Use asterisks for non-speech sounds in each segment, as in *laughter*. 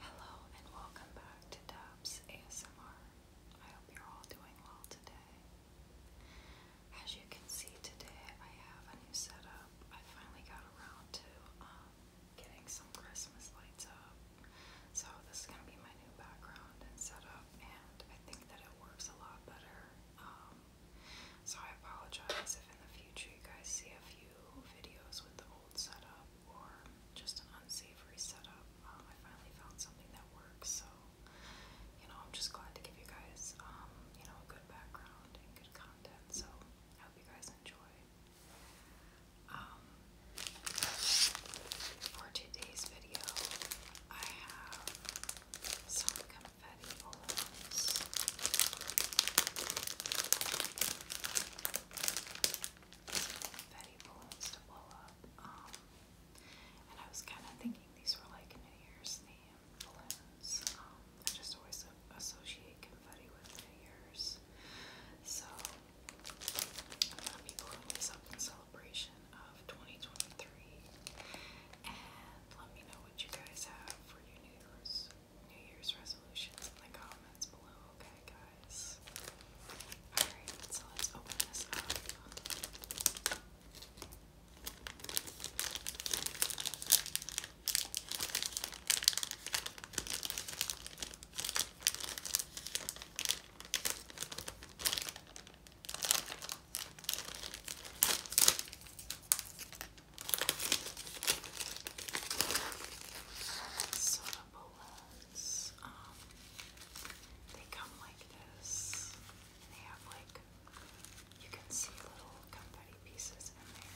Hello and welcome back to Dabs ASMR. I hope you're all doing well today. As you can see today, I have a new setup. I finally got around to um, getting some Christmas lights up. So this is going to be my new background and setup, and I think that it works a lot better um, so I apologize if in the future you guys see a few videos with the old setup or just an unsavory setup. Um, I finally found something that works, so you know I'm just glad to give you guys um, you know a good background and good content. So I hope you guys enjoy. Um, for today's video, I have some confetti balloons. Confetti balloons to blow up. Um, and I was kind of thinking these were like New Year's theme balloons. Um, I just always associate confetti with New Year's. So, a lot of people celebration collection of 2023. And let me know what you guys have for your New Year's, New Year's resolutions in the comments below, okay, guys? Alright, so let's open this up. Soda bullets. Um, they come like this. They have like you can see little confetti pieces in there,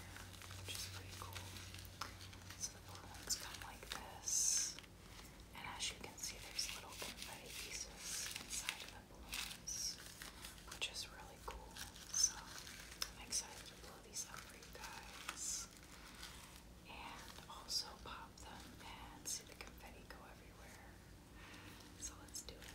which is pretty cool. So the bullets come like this. And as you can see, there's little confetti pieces inside of the balloons, which is really cool. So I'm excited to blow these up for you guys. And also pop them and see the confetti go everywhere. So let's do it.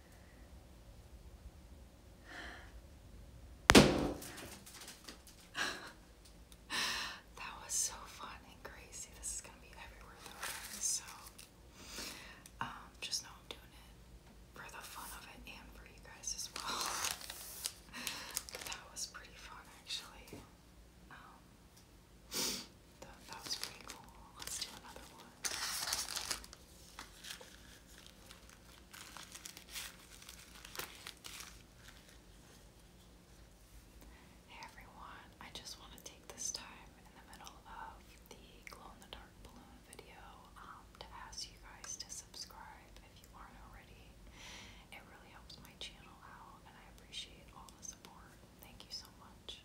that was so fun and crazy. This is gonna be everywhere though, so um, just know I'm doing it for the fun of it and for you guys as well. *laughs* that was pretty fun actually. Um, that, that was pretty cool. Let's do another one. Hey everyone, I just want to take this time in the middle of the glow in the dark balloon video um, to ask you guys to subscribe if you aren't already. It really helps my channel out and I appreciate all the support. Thank you so much.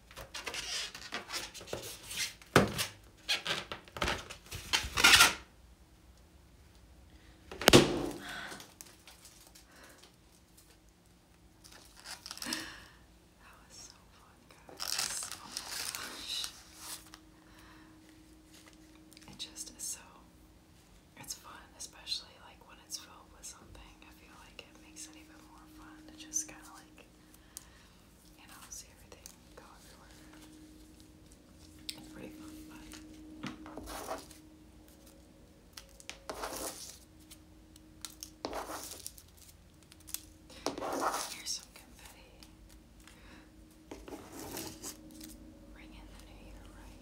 That was so fun, guys. Oh my gosh. It just is so. It's fun, especially like it's filled with something, I feel like it makes it even more fun to just kind of like, you know, see everything go everywhere. Here's some confetti. Ring in the new year, right?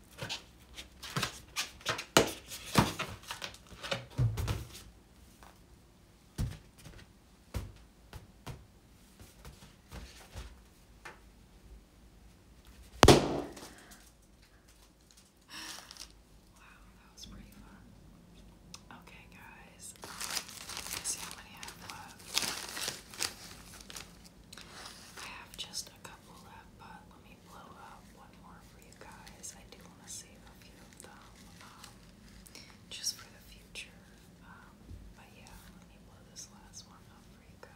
that was pretty fun. Okay, guys, let's see how many I have I have just a couple left, but let me blow up one more for you guys. I do want to save a few of them um, just for the future. Um, but yeah, let me blow this last one up for you guys.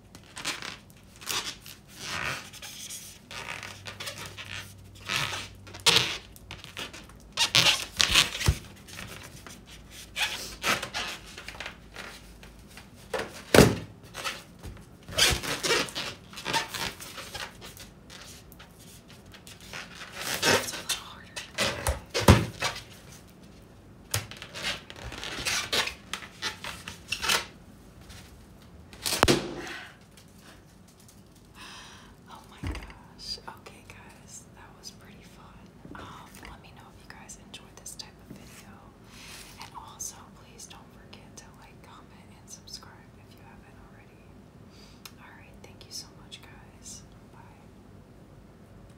It's a little harder. Oh my gosh. Okay guys, that was pretty fun. Um, let me know if you guys enjoyed this type of video. And also please don't forget to like, comment, and subscribe if you haven't already. Alright, thank you so much guys. Bye.